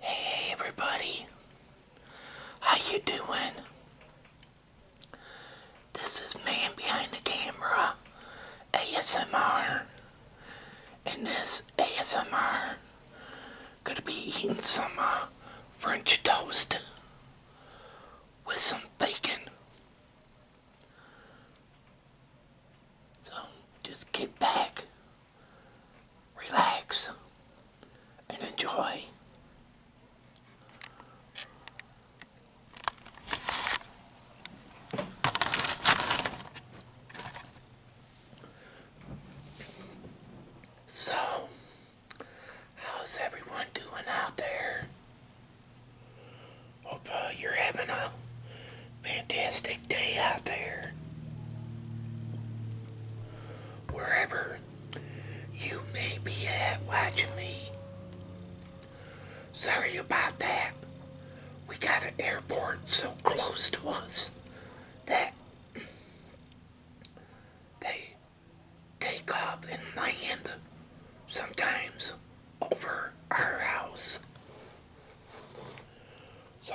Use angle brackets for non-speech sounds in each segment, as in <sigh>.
Hey everybody, how you doing? This is Man Behind the Camera ASMR, and this ASMR gonna be eating some uh, French toast with some bacon. So just get back relax, and enjoy. So, how's everyone doing out there? Hope uh, you're having a fantastic day out there. Wherever you may be watching me. Sorry about that. We got an airport so close to us that they take off and land sometimes over our house. So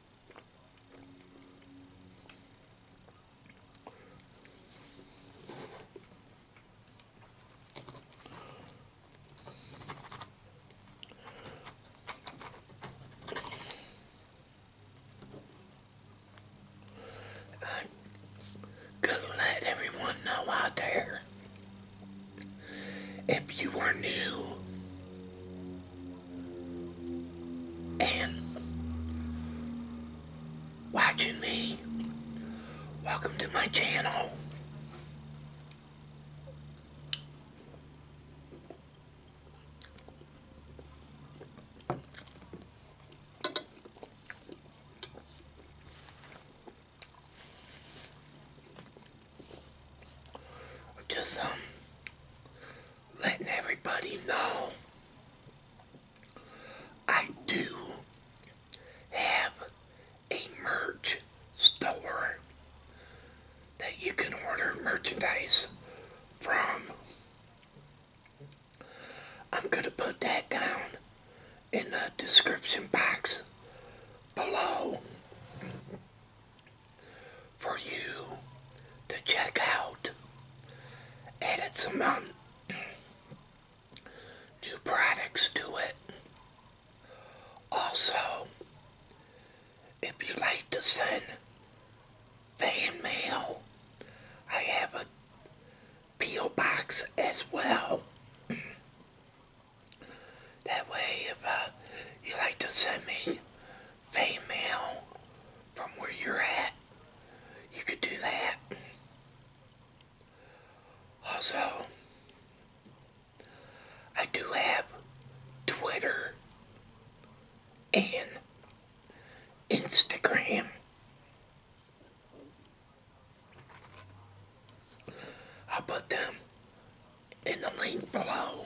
i let everyone know out there if you are new and watching me. Welcome to my channel just um, letting everybody know I do have a merch store that you can order merchandise from. I'm going to put that down in the description box below for you to check out. And it's some um, new products to it. Also, if you like to send fan mail, I have a P.O. box as well. That way, if uh, you like to send me female from where you're at, you could do that. Also, I do have Twitter and Instagram. I'll put them in the link below.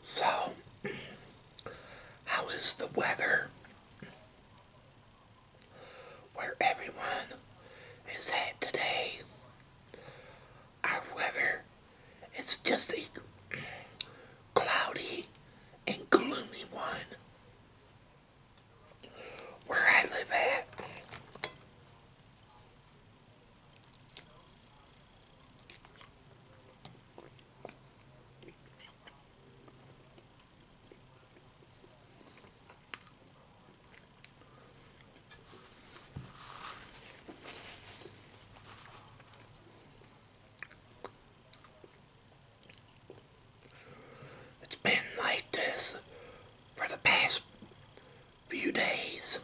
So, how is the weather where everyone is at today. Our weather is just a cloudy and gloomy one. Where I live at, it's been like this for the past few days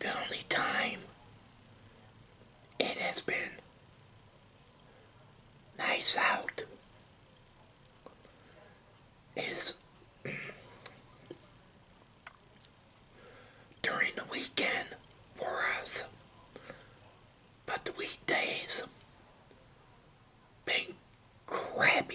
the only time it has been nice out is during the weekend for us. But the weekdays been crappy.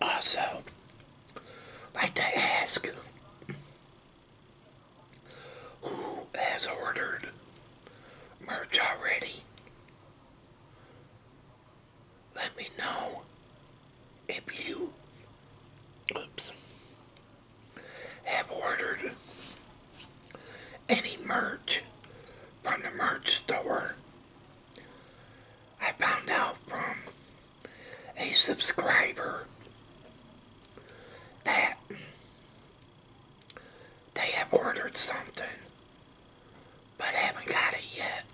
also like to ask who has ordered merch already. Let me know if you oops, have ordered any merch from the merch store. I found out from a subscriber that they have ordered something but haven't got it yet.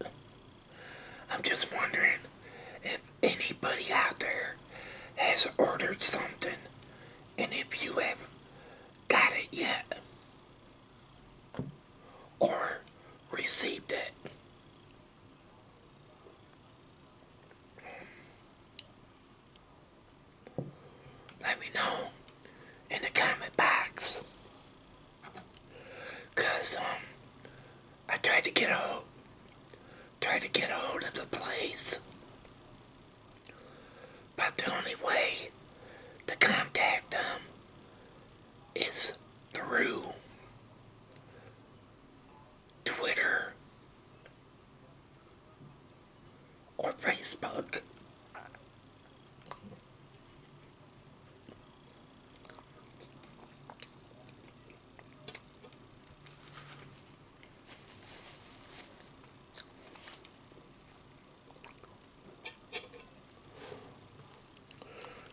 I'm just wondering if anybody out there has ordered something and if you have got it yet or received it. Let me know in the comment box. Cause um I tried to get a hold, tried to get a hold of the place, but the only way to contact them is through Twitter or Facebook.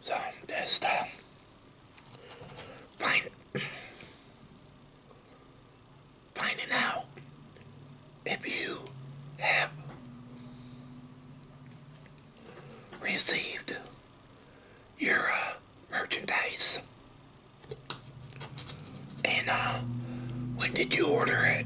So I'm just find, finding out if you have received your uh, merchandise. And uh, when did you order it?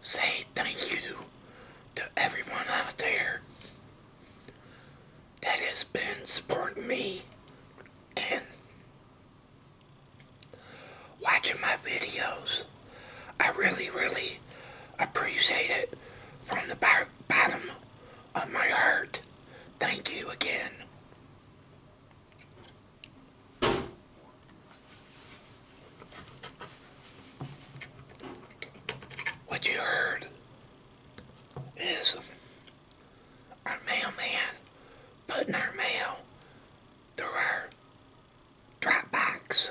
say thank you to everyone out there that has been supporting me and watching my videos. I really, really appreciate it from the bottom of my heart. Thank you again. What you heard is our mailman putting our mail through our drop box.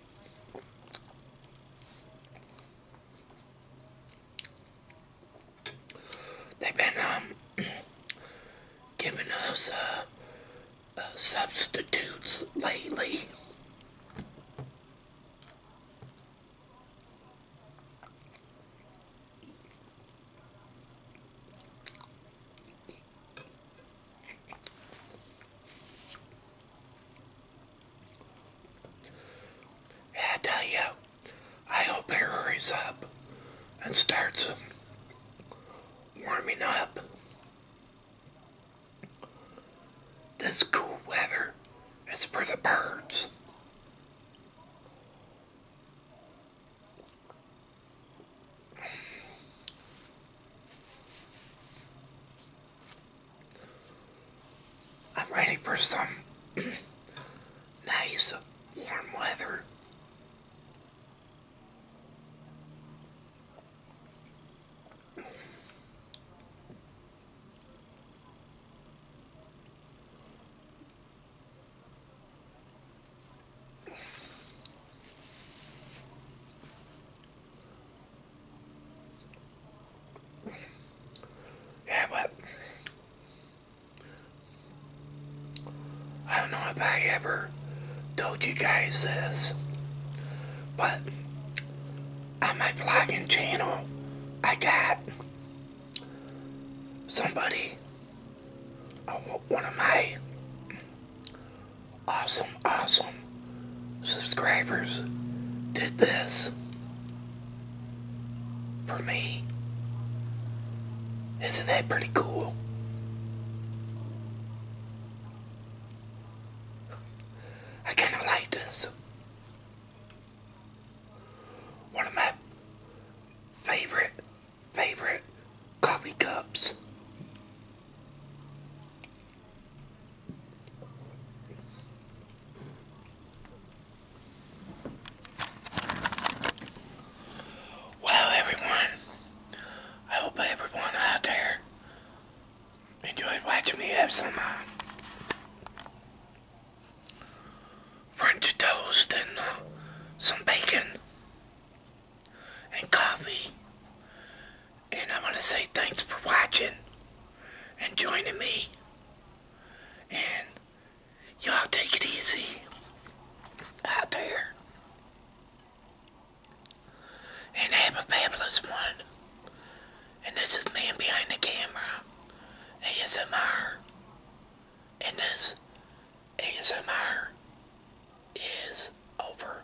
They've been um, <clears throat> giving us uh, uh, substitutes lately. I tell you, I hope it hurries up and starts warming up. This cool weather is for the birds. I'm ready for some <clears throat> nice warm weather. Yeah, but I don't know if I ever told you guys this, but on my flagging channel, I got somebody, uh, one of my awesome, awesome subscribers did this for me. Isn't that pretty cool? I kind of like this. One of my favorite, favorite coffee cups. Well, everyone, I hope everyone out there enjoyed watching me have some uh, French toast and uh, some bacon and coffee and I want to say thanks for watching and joining me. And y'all take it easy out there. And have a fabulous one. And this is Man Behind the Camera, ASMR. And this ASMR is over.